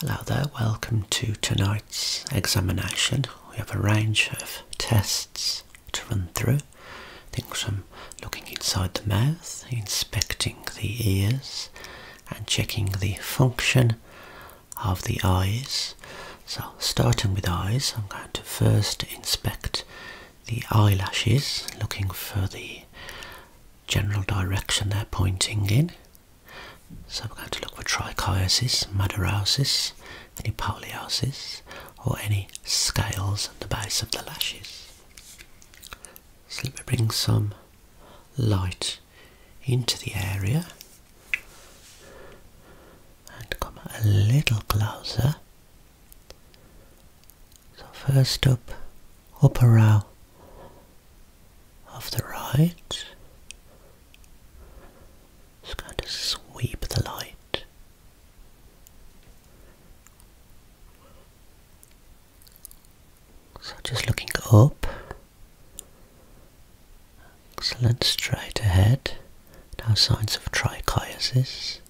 Hello there, welcome to tonight's examination. We have a range of tests to run through. Things from looking inside the mouth, inspecting the ears, and checking the function of the eyes. So, starting with eyes, I'm going to first inspect the eyelashes, looking for the general direction they're pointing in. So we're going to look for trichiosis, madarosis, any poliosis, or any scales at the base of the lashes. So let me bring some light into the area and come a little closer. So first up, upper row of the right. Just going to sweep the light. So just looking up. Excellent, straight ahead. Now signs of trichiasis.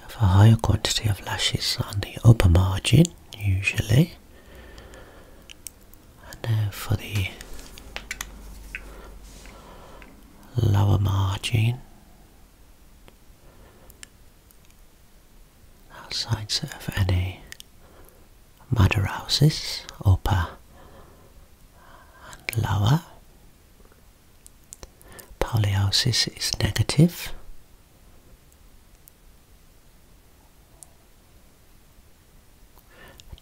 have a higher quantity of lashes on the upper margin, usually. And now for the lower margin, outside of any Madarausis, upper and lower. Poliosis is negative.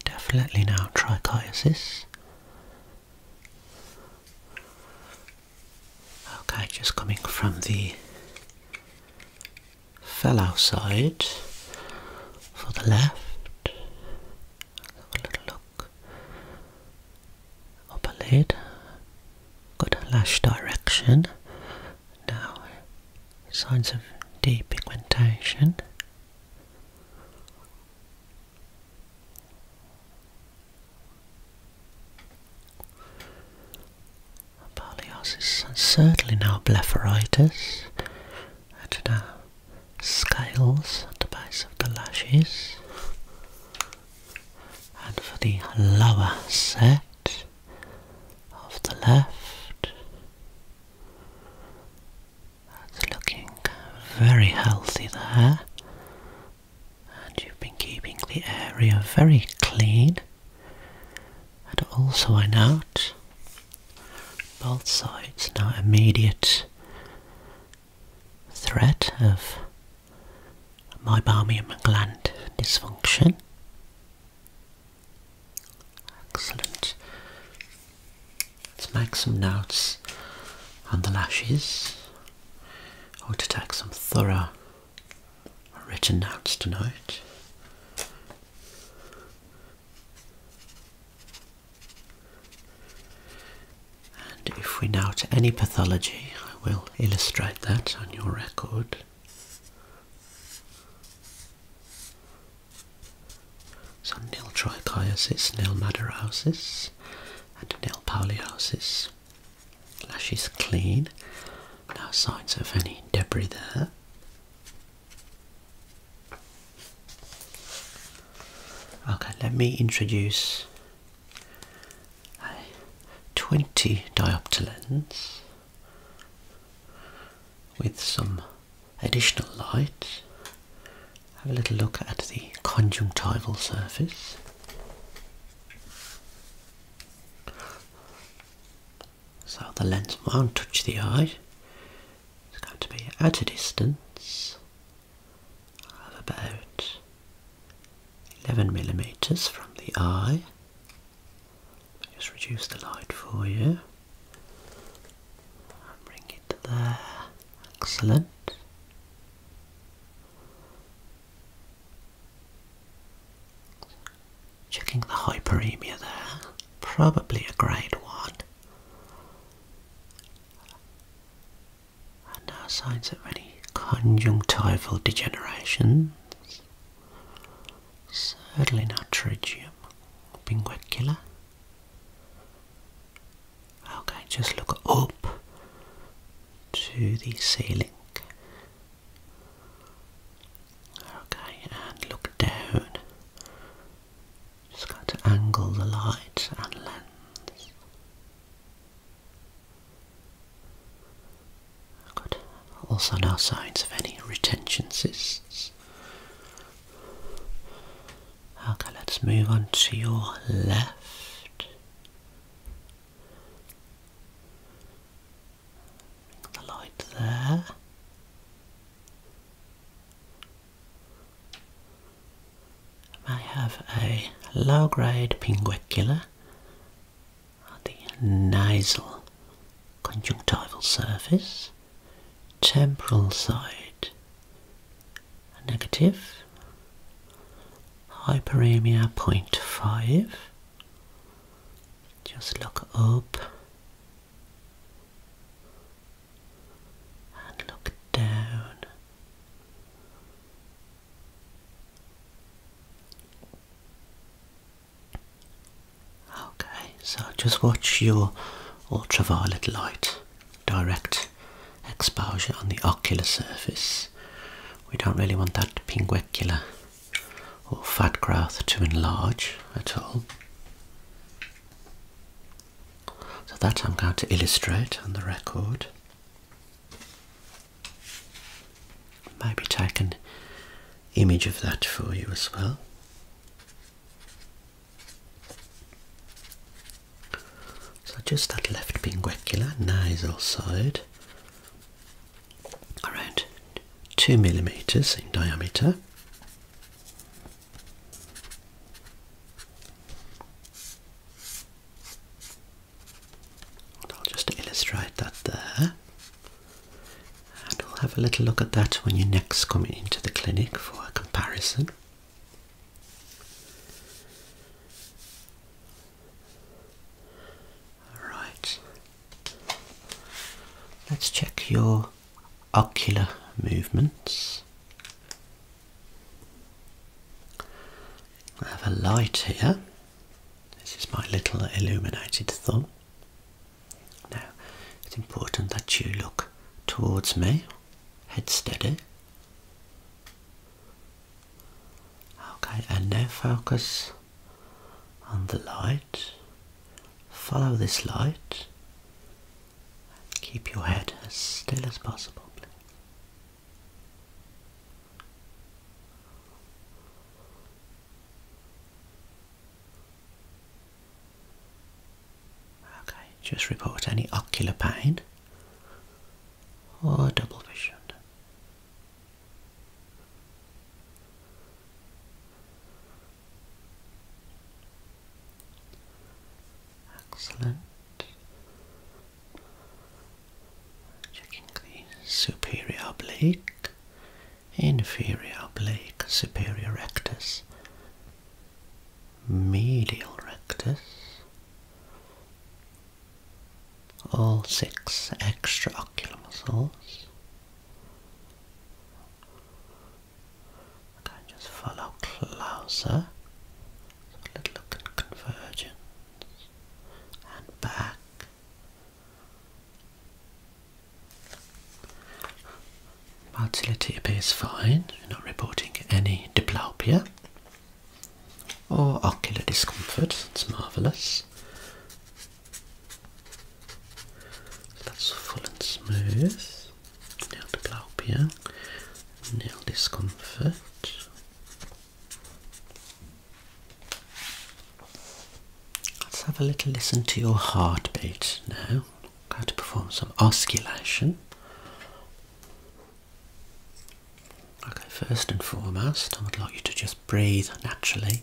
Definitely now trichiasis. Okay, just coming from the fellow side for the left. a little look. Upper lid. Good lash direction now signs of depigmentation. Abaliosis and certainly now blepharitis and now scales at the base of the lashes and for the lower set of the left. That's looking very healthy there. And you've been keeping the area very clean. And also I note both sides now immediate threat of meibomian gland dysfunction. Excellent. Let's make some notes on the lashes. I want to take some thorough written notes tonight. And if we note any pathology, I will illustrate that on your record it. nil trichiosis, nil madarosis, and nil poliosis. Lashes clean. No signs of any debris there. Okay, let me introduce a 20 diopter lens with some additional light. Have a little look at the conjunctival surface. So the lens won't touch the eye. It's going to be at a distance of about 11 millimeters from the eye. Just reduce the light for you bring it there. Excellent. Checking the hyperemia there, probably a grade one. no signs of any conjunctival degenerations. Certainly not tritium pinguicula. Okay, just look up to the ceiling. Okay, and look down. Just got to angle the light and lens. Also no signs of any retention cysts. Okay, let's move on to your left. Bring the light there. I have a low grade pinguicula the nasal conjunctival surface, temporal side negative, hyperemia 0.5, just look up and look down. Okay, so just watch your ultraviolet light direct exposure on the ocular surface. We don't really want that pinguecula or fat growth to enlarge at all. So that I'm going to illustrate on the record. Maybe take an image of that for you as well. So just that left pinguecula nasal side, around two millimeters in diameter. I'll just illustrate that there. And we'll have a little look at that when you next come into the clinic for a comparison. Alright, let's check your ocular movements. I have a light here. This is my little illuminated thumb. Now, it's important that you look towards me, head steady. Okay, and now focus on the light. Follow this light. Keep your head as still as possible. Please. Okay, just report any ocular pain or double vision. Excellent. Checking the superior oblique inferior oblique, superior rectus, medial rectus, all six extraocular muscles. Okay, just follow closer. a little look at convergence and back Motility appears fine, we're not reporting any diplopia or ocular discomfort, it's marvellous. that's full and smooth, No diplopia, No discomfort. Let's have a little listen to your heartbeat now. I'm going to perform some osculation. Okay, first and foremost, I would like you to just breathe naturally,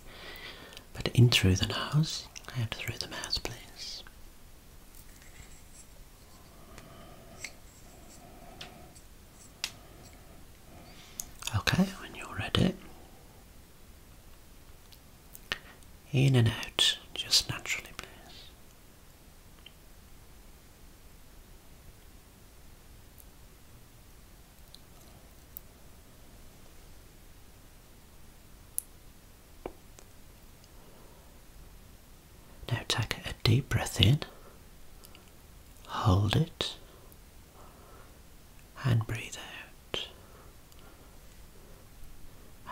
but in through the nose, out through the mouth, please. Okay, when you're ready, in and out, just naturally, please. Now take a deep breath in, hold it, and breathe out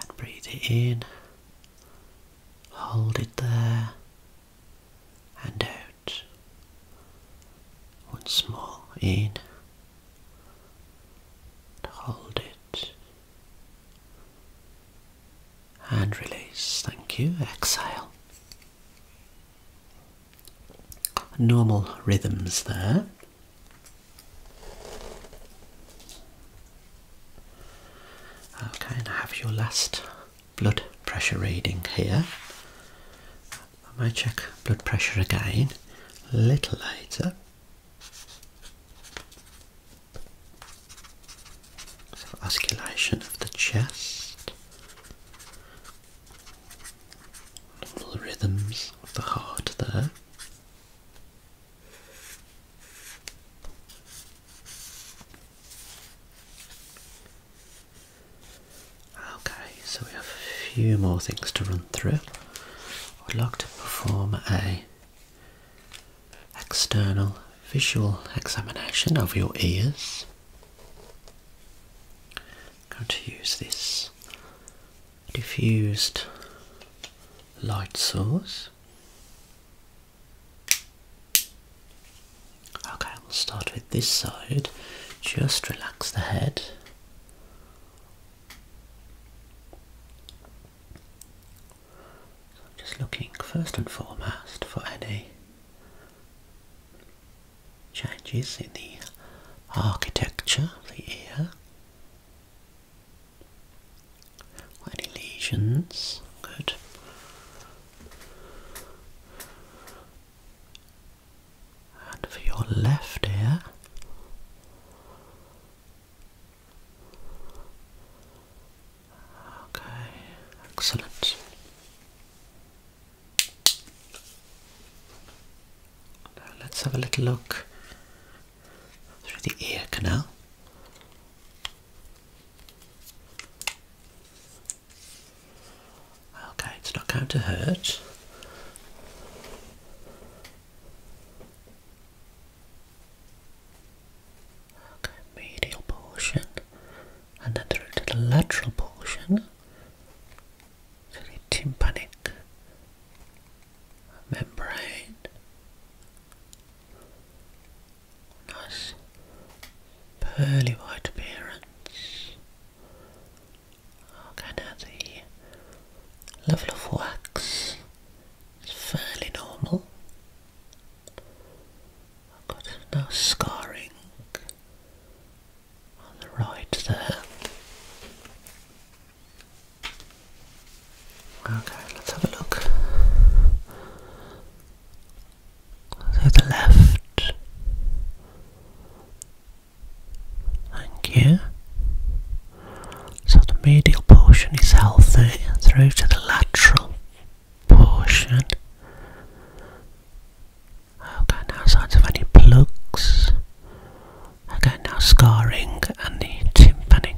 and breathe it in hold it there and out once more in hold it and release thank you exhale normal rhythms there. Okay, and I have your last blood pressure reading here. I might check blood pressure again a little later. So, of the chest the rhythms of the heart there. Okay, so we have a few more things to run through. I'd like to perform a external visual examination of your ears going to use this diffused light source. Okay, we'll start with this side. Just relax the head. I'm just looking first and foremost for any changes in the architecture of the ear, any lesions, good. And for your left ear, okay, excellent let's have a little look through the ear canal. Okay, it's not going to hurt. Okay, medial portion and then through to the lateral portion to the tympanic membrane. Nice pearly white appearance. Okay, now the level of wax is fairly normal. I've got no scarring on the right there. Okay, let's have a look. So the left. Thank you. So the medial portion is healthy through to the lateral portion. Okay, no signs of any plugs. Okay, now scarring and the tympanic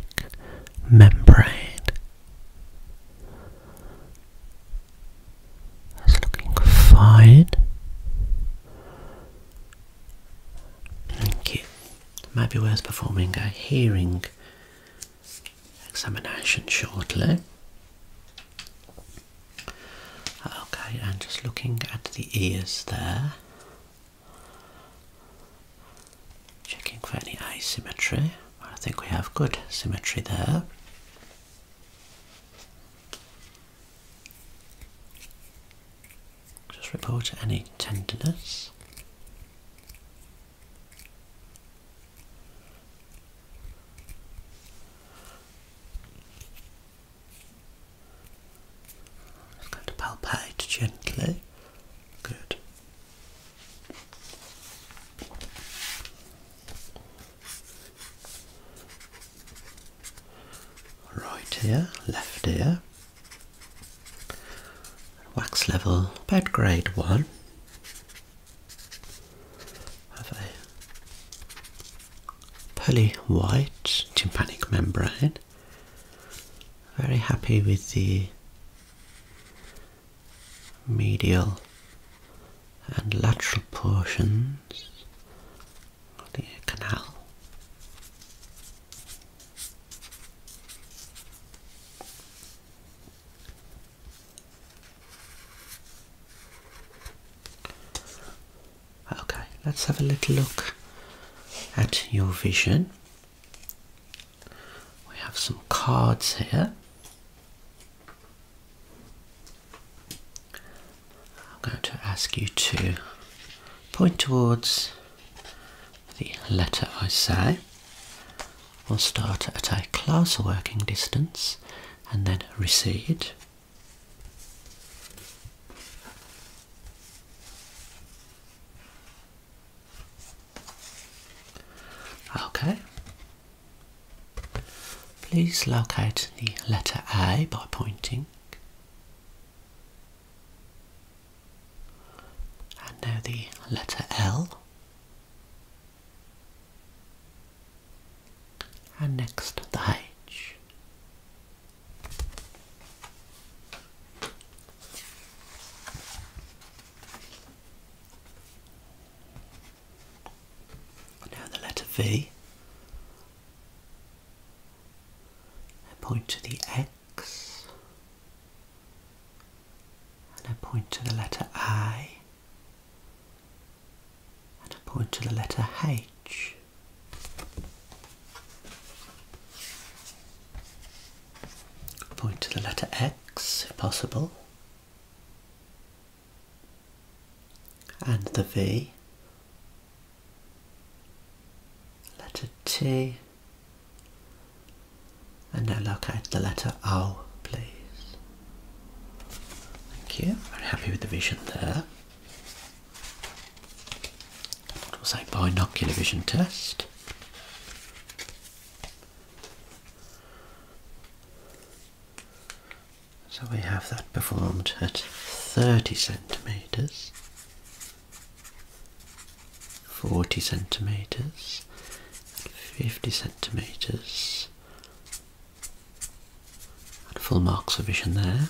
membrane. That's looking fine. Thank you. Might be worth performing a hearing examination shortly. Okay, and just looking at the ears there, checking for any asymmetry. I think we have good symmetry there. Just report any tenderness. I'm just going to palpate gently. Good. Right ear, left ear. Wax level about grade one. Have a poly-white tympanic membrane. Very happy with the medial and lateral portions of the canal. Okay, let's have a little look at your vision. We have some cards here. I'm going to ask you to point towards the letter I say. We'll start at a class working distance and then recede. Okay. Please locate the letter A by pointing. And now the letter L and next the H. Now the letter V. I point to the X and I point to the letter I and I point to the letter H. Point to the letter X if possible. And the V. Letter T. And now locate the letter O, please. Thank you. Very happy with the vision there. What was a binocular vision test? So we have that performed at 30 centimetres, 40 centimetres, 50 centimetres, full marks of vision there.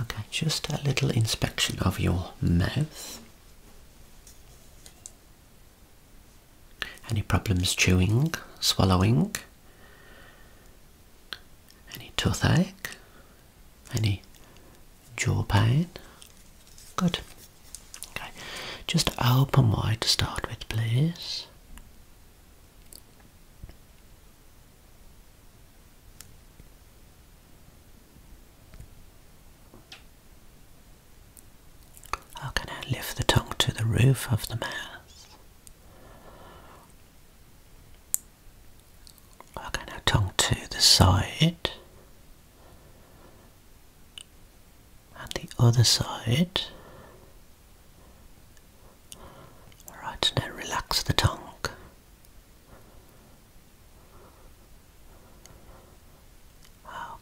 Okay, just a little inspection of your mouth. Any problems chewing, swallowing? Any toothache? Any jaw pain? Good. Okay, just open wide to start with, please. Okay, now lift the tongue to the roof of the mouth. Okay, now tongue to the side and the other side. Alright, now relax the tongue.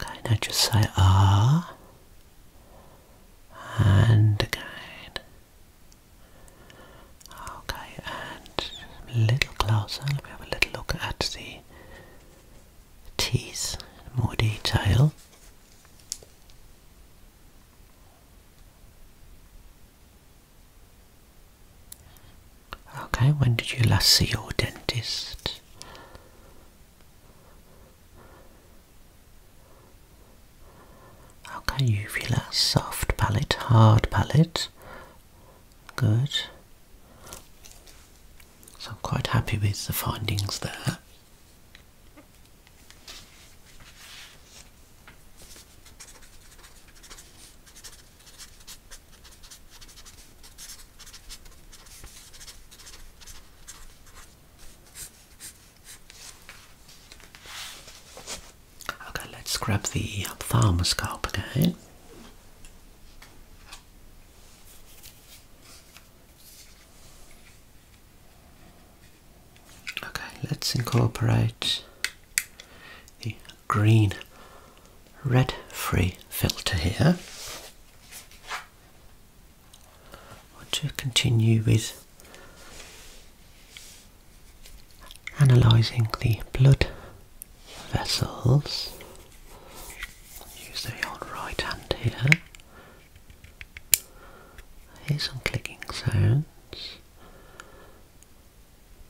Okay, now just say ah and again. Okay, and a little closer, let me have a little look at the teeth more detail. Okay, when did you last see your dentist? Okay, uvula, soft palate, hard palate. Good. So I'm quite happy with the findings there. Okay, let's grab the ophthalmoscope uh, again. Okay, let's incorporate the green red free filter here. want to continue with analysing the blood vessels. Use the right hand here. Here's some clicking sounds,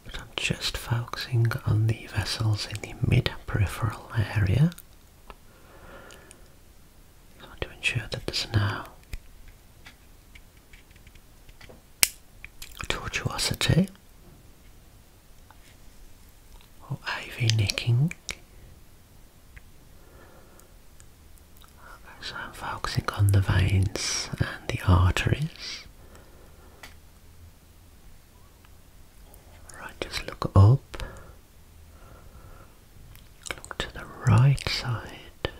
but I'm just focusing on the vessels in the mid peripheral area. to ensure that there's no tortuosity or nicking. Okay, so I'm focusing on the veins and the arteries. Right, just look up, look to the right side,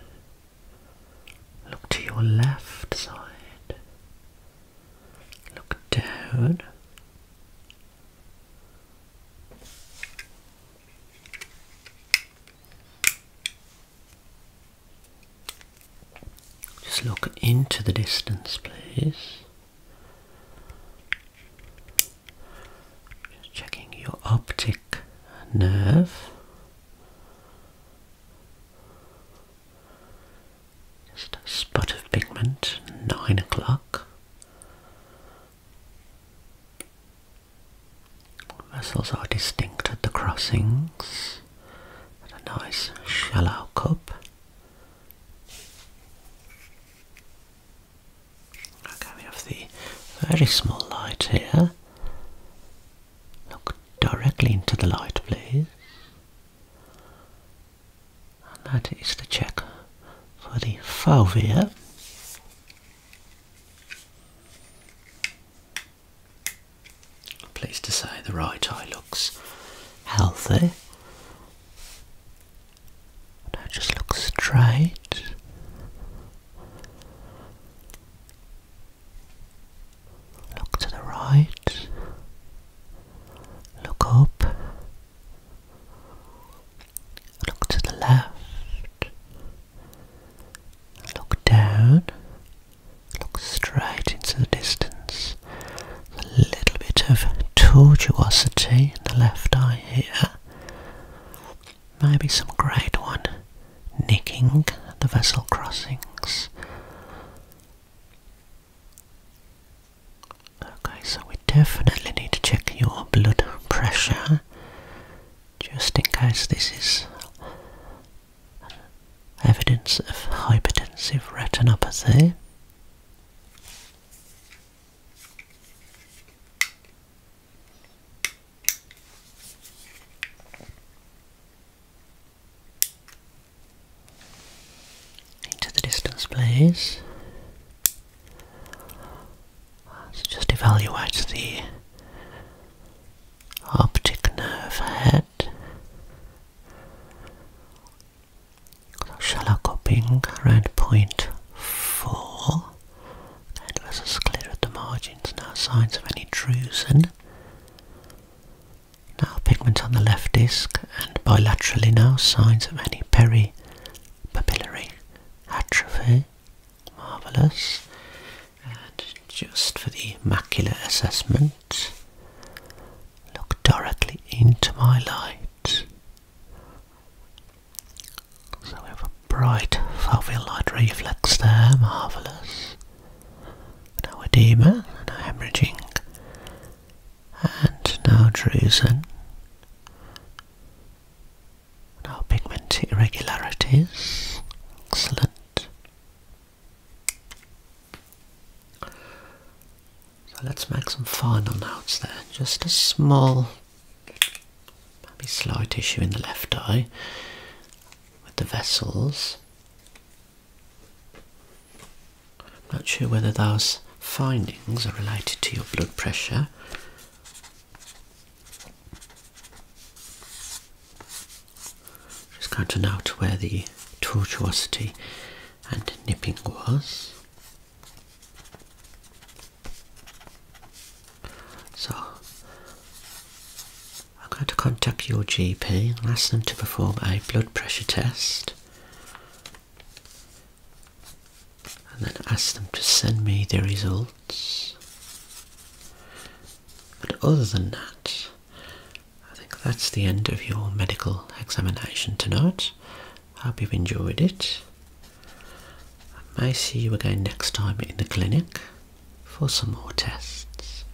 look to your left side. Look down. Just look into the distance, please. Just checking your optic nerve. Just a spot of pigment, nine o'clock. Vessels are distinct at the crossings. a nice shallow cup. Okay, we have the very small light here. Look directly into the light, please and that is the check for the fovea. i pleased to say the right eye looks healthy. Now just look straight. Look to the right. Look up. Look to the left. Look down. Look straight into the distance. A little bit of tortuosity in the left eye here. Maybe some great one nicking the vessel crossings. Okay, so we definitely need to check your blood pressure just in case this is evidence of hypertensive retinopathy into the distance please. Let's just evaluate the optic nerve head. So shallow cupping around point four. And let's clear at the margins, no signs of any drusen. Now pigment on the left disc and bilaterally now signs of any peripapillary atrophy. Marvellous. And just for the macular assessment, look directly into my light. So we have a bright foveal light reflex there, marvellous. No edema, no hemorrhaging and now drusen. Now pigment irregularities. Excellent. So let's make some final notes there. Just a small, maybe slight issue in the left eye with the vessels. I'm not sure whether those findings are related to your blood pressure. Just going to note where the tortuosity and nipping was. So I'm going to contact your GP and ask them to perform a blood pressure test and then ask them to send me the results. But other than that, I think that's the end of your medical examination tonight. hope you've enjoyed it. I may see you again next time in the clinic for some more tests.